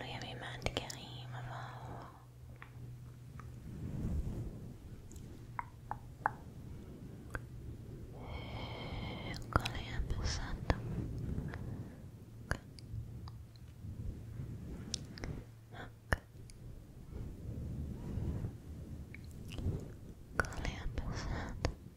اللي يا ما عندك غيمة فهو قال يا بساطة قال يا بساطة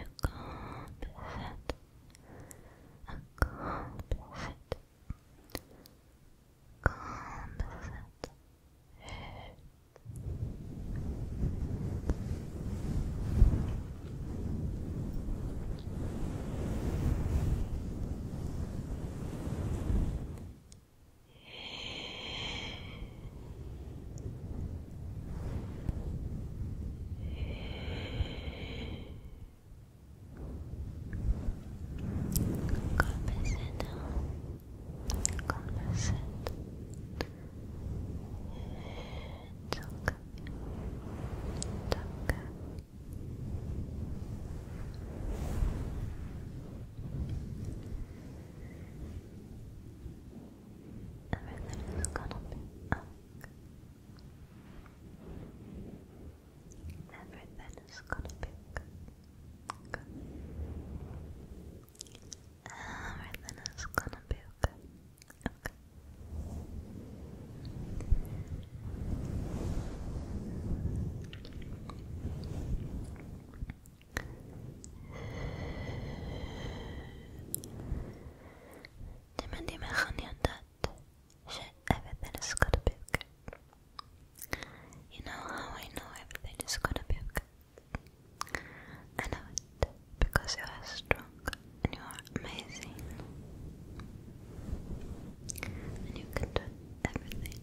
Accomplish it. Accomplish it. Accomplish it. Composite, composite. Talk, talk. Everything is gonna be okay. Everything is gonna be good. Everything is gonna be okay. لمن يمخنيندات شيء everything is gonna be okay. You know how I know everything is gonna be okay? I know it because you are strong and you are amazing. And you can do everything.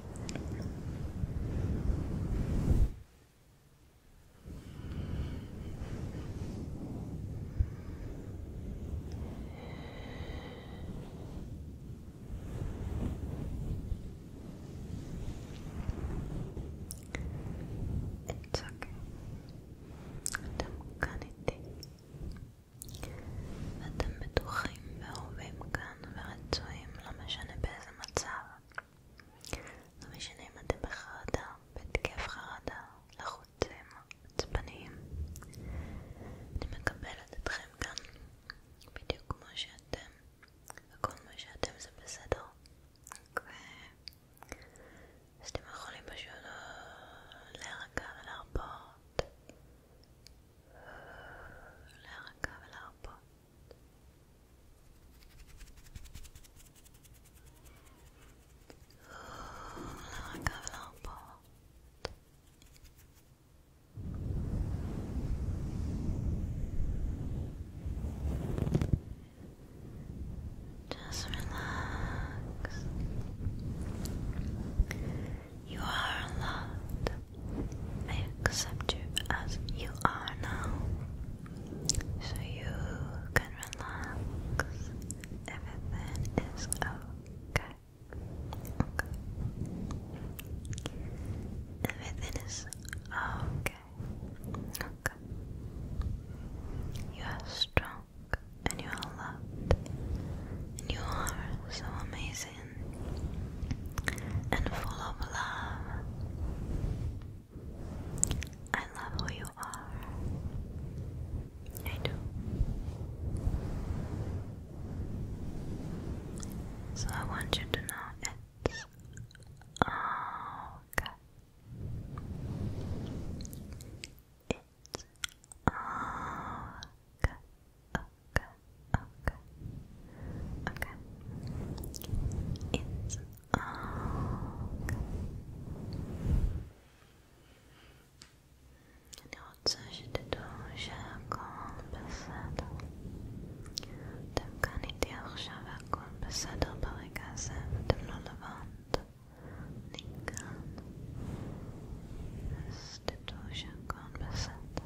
It's okay. Don't ואתם בטוחים ואהובים כאן ורצויים, לא משנה באיזה מצב. לא משנה אם אתם בחרדה, בהתקף חרדה, לחוצים, עצבניים. אני מקבלת אתכם כאן, בדיוק כמו שאתם, וכל מה שאתם זה בסדר. ו... אז אתם יכולים פשוט אה, להירגע ולהרפות Lära kavlar uppåt. Lära Just relax. You are loved. I accept you as you are now. So you can relax. Everything is okay. Okay. Everything is okay. Okay. You are strong and you are loved. And you are so amazing and full of love. I love who you are. I do. So I want you to know it's okay. It's okay okay, okay, okay. It's okay. Od coś dużego בסדר. אתם כאן איתי עכשיו והכל בסדר ברגע הזה, ואתם לא לבד. אני כאן. אז תדעו שהכל בסדר.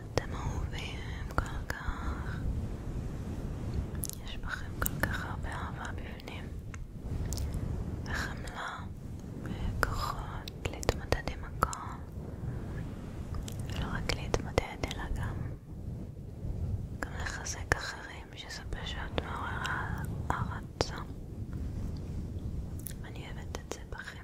אתם אהובים כל כך, יש בכם כל כך הרבה אהבה בפנים, וחמלה, וכוחות להתמודד עם הכל, ולא רק להתמודד אלא גם, גם לחזק אחרים, שזה פשוט מעורר הערצה. אני אוהבת את זה בכם.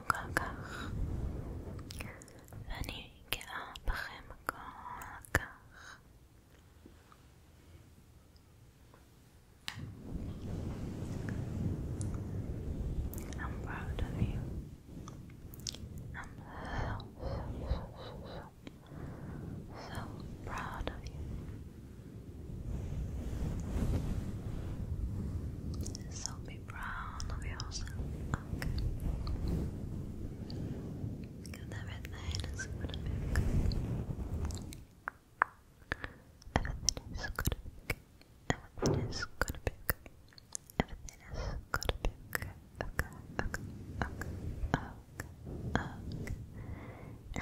I'm proud of you. I'm so, so, so, proud of you. So be brown everything is gonna be good. Everything is gonna be good. Everything is gonna be good. Everything is gonna be Okay, okay, okay, okay, okay.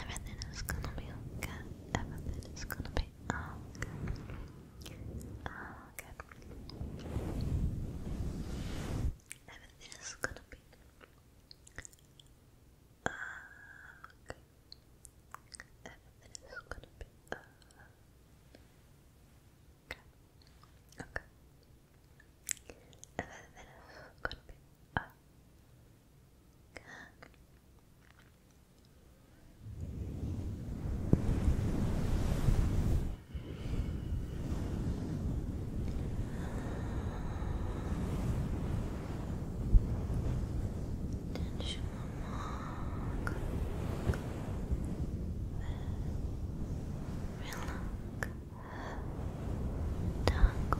Everything is gonna be okay. Everything is gonna be okay. Ah, okay. Everything gonna be. Ah, okay. Everything gonna be. Okay. Okay. Everything gonna be. Okay. Tension mark. Relax. Tango.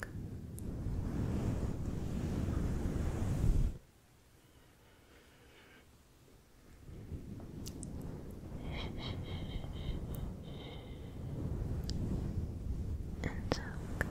back. And so Good.